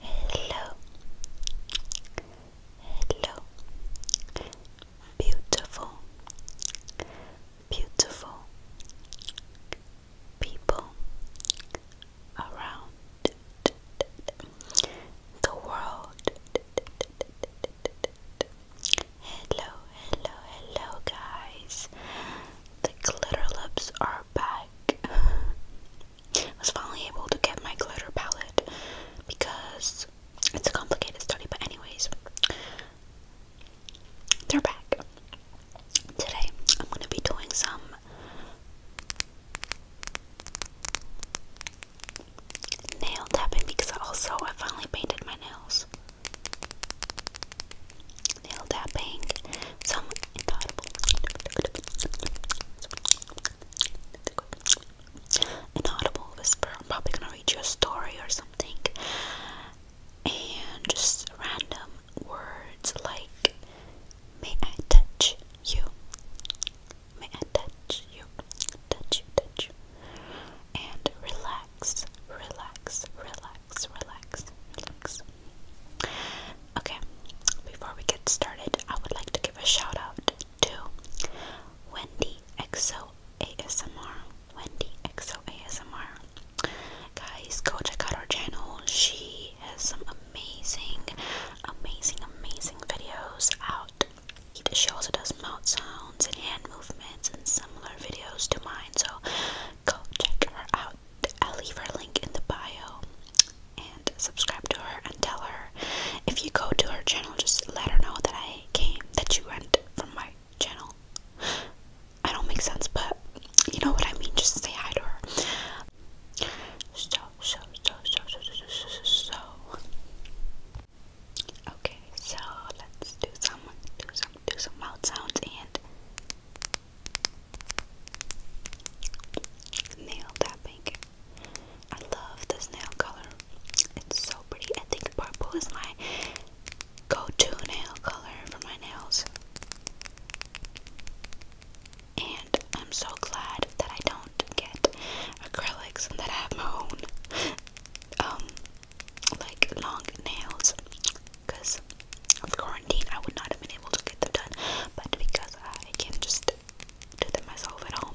Hello, hello, beautiful, beautiful people around the world. Hello, hello, hello, guys. The glitter lips are back. I was finally able to get my glitter palette because it's a complicated study, but, anyways, they're back. Today, I'm going to be doing some nail tapping because also I finally painted my nails. Nail tapping. Some Inaudible whisper. I'm probably gonna read you a story or something. And just random words like, may I touch you? May touch you? Touch you, touch you. And relax, relax, relax, relax, relax. Okay, before we get started, I would like to give a shout out to Wendy XO ASMR. Wendy XO ASMR. Guys, go check out her channel. She has some amazing, amazing, amazing videos out it, she also does mouth sounds and hand movements and similar videos to mine, so go check her out. I'll leave her link in the bio and subscribe to her and tell her if you go to her channel, just let her know that I came, that you went from my channel. I don't make sense, but you know what I mean. Just say hi to her. So, so, so, so, so, so, so, so. Okay, so let's do some do some do some mouth sounds and nail tapping. I love this nail color. It's so pretty. I think purple is my go-to nail color for my nails. And I'm so glad that I don't get acrylics and that I have my own um like long nails because of quarantine I would not have been able to get them done but because I can just do them myself at home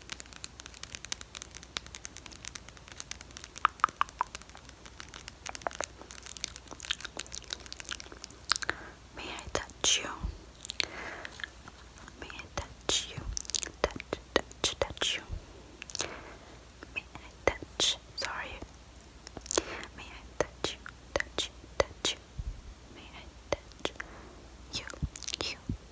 May I touch you? May I touch you? Touch, touch, touch you. May I touch? Sorry. May I touch you? Touch, touch you. May I touch you? You,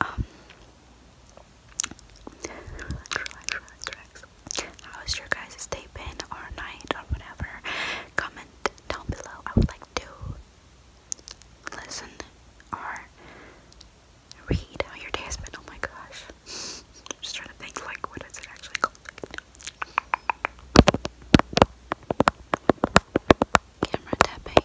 Um, was relax, relax. How's your guys' day been or night or whatever? Comment down below. I would like to listen or read how your day has been. Oh my gosh. I'm just trying to think like what is it actually called? camera tapping.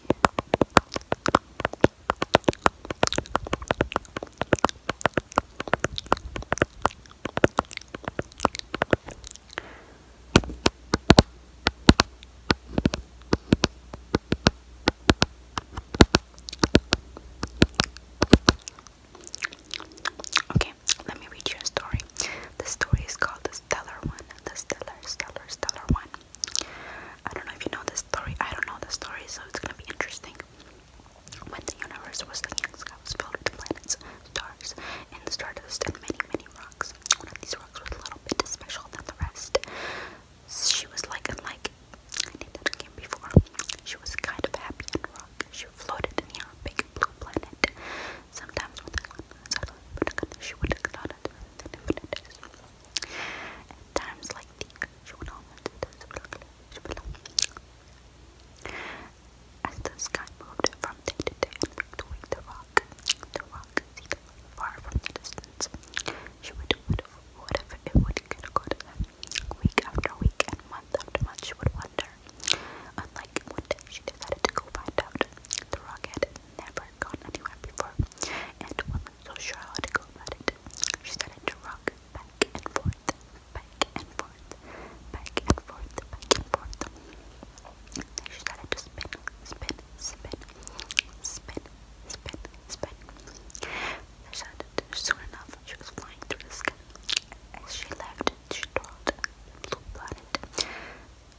Okay, let me read you story. The story is called The Stellar One. The Stellar, Stellar, Stellar One. I don't know if you know this story. I don't know the story, so it's gonna be interesting. When the universe was the young sky was filled with planets, stars, and the stardust, and many, many rocks. One of these rocks was a little bit special than the rest. She was like unlike any that came before. She was kind of happy and rock. She floated near a big blue planet. Sometimes when the sun was out, but she would cloud it, then at times like these, she would almost As the sky moved from day to day and week to week, the rock, the rock far from the distance. She would do whatever, whatever it would get good. Week after week and month after month, she would wonder. Unlike one day, she decided to go find out. The rock had never never gone anywhere before and wasn't so sure how to go about it. She started to rock back and forth, back and forth, back and forth, back and forth. Then she started to spin, spin, spin, spin, spin, spin. They said soon enough she was flying through the sky. As she left, she twirled the blue planet.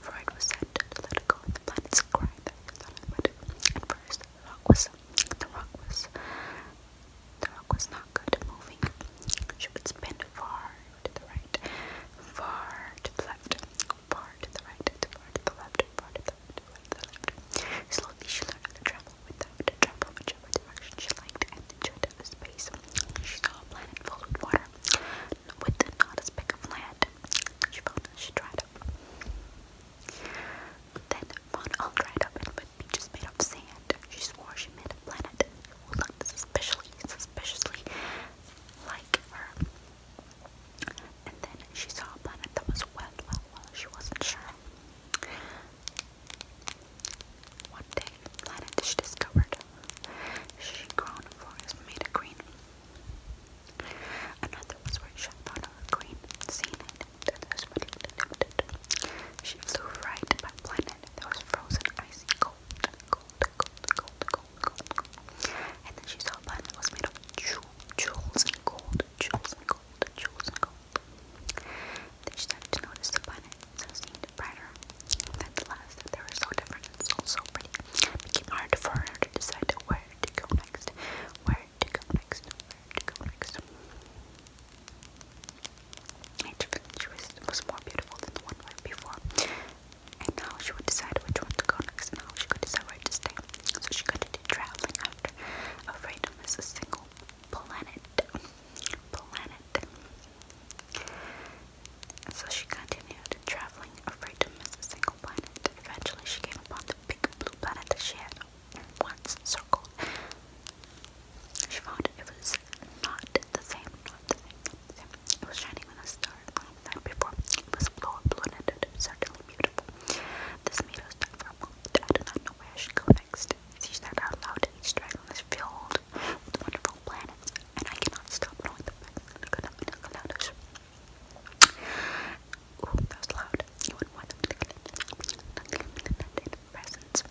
Freud was said to let it go of the planet's cry first, the rock was the rock was the rock was not good at moving. She would spin far to the right, far to the left, far to the right, to the left, to the right, to the left. Slowly she learned to travel without a travel whichever direction she liked and enjoyed the space. She saw a planet full of water with not as big of land, she found she dried up. Then found all dried up and with beaches made of sand. She swore she met a planet who suspiciously, like her. And then she saw a planet that was wet, well, she wasn't sure. One day, the planet she discovered, she grown forest made a green Another was where she thought of the queen, seen it, that She flew right by planet that was frozen, icy, cold, cold, cold, cold, cold, cold, And then she saw a planet that was made of jewels and gold, jewels and gold, jewels and gold. Then she started to notice the planet that seemed brighter than the last, that they were so different and so, so pretty. It became hard for her to decide where where to go next, where to go next, where to go next. Each village was, was more beautiful than the one before, and now she would decide which one to go next and she could decide where to stay. So she continued traveling Afraid of is a single planet. Planet. So she continued traveling, afraid to miss a single planet. Eventually, she came upon the big blue planet that she had once circled. She found it was not the same, not the same, the same. It was shining with a star long time before. It was blue, blue, planet, it was certainly beautiful. This made her stop for a moment. I do not know where I should go next. She's not allowed to each dragon is filled with wonderful planets, and I cannot stop knowing the planets. Ooh, that was loud. You wouldn't want to get in presents.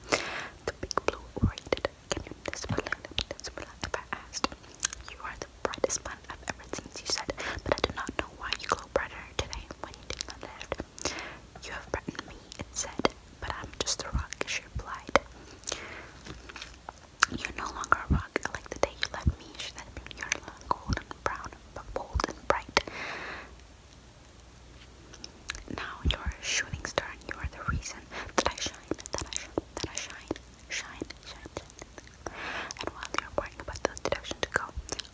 The big blue orated. Can you display them? if I asked. You are the brightest one I've ever seen, she said, but I do not know why you glow brighter today when you did not live. You have brightened me, it said, but I'm just a rock, she replied. You're no longer a rock like the day you left me. Should that have been your gold and brown, but bold and bright? Now you're a shooting star, and you are the reason that I shine, that I shine, that I shine, shine, shine, shine. And while you're worrying about the direction to go,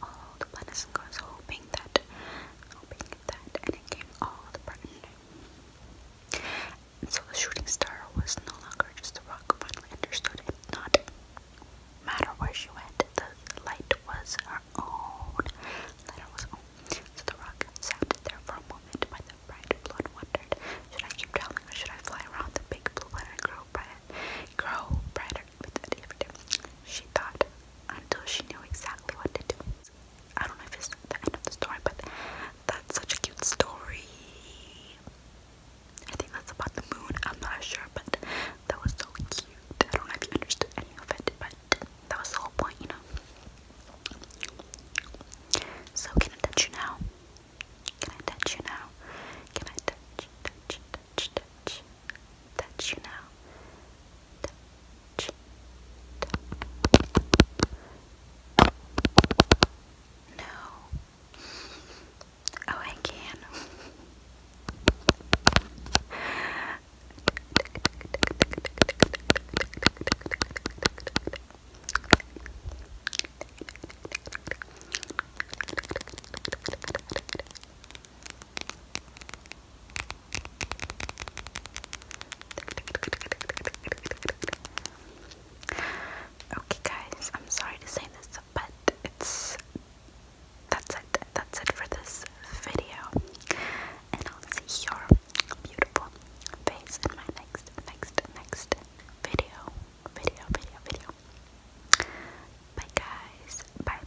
all the planets and gods hoping that, hoping that, and it came all the burden. And so the shooting star was no longer just a rock, finally understood it, not matter where she went, the light was her own. The light was own. So the rock sat there for a moment by the bright blue and wondered, should I keep traveling or should I fly around the big blue one grow bright grow brighter with every day? She thought until she knew exactly what to do. I don't know if it's the end of the story, but that's such a cute story. I think that's about the moon. I'm not sure, but that was so cute. I don't know if you understood any of it, but that was the whole point, you know. So can I touch you now? Can I touch you now? Can I touch, touch, touch, touch, touch you now? No. Oh, I can. Okay, guys, I'm sorry to say this but it's that's it. That's it for this video. And I'll see your beautiful face in my next, next, next video. Video, video, video. Bye guys. Bye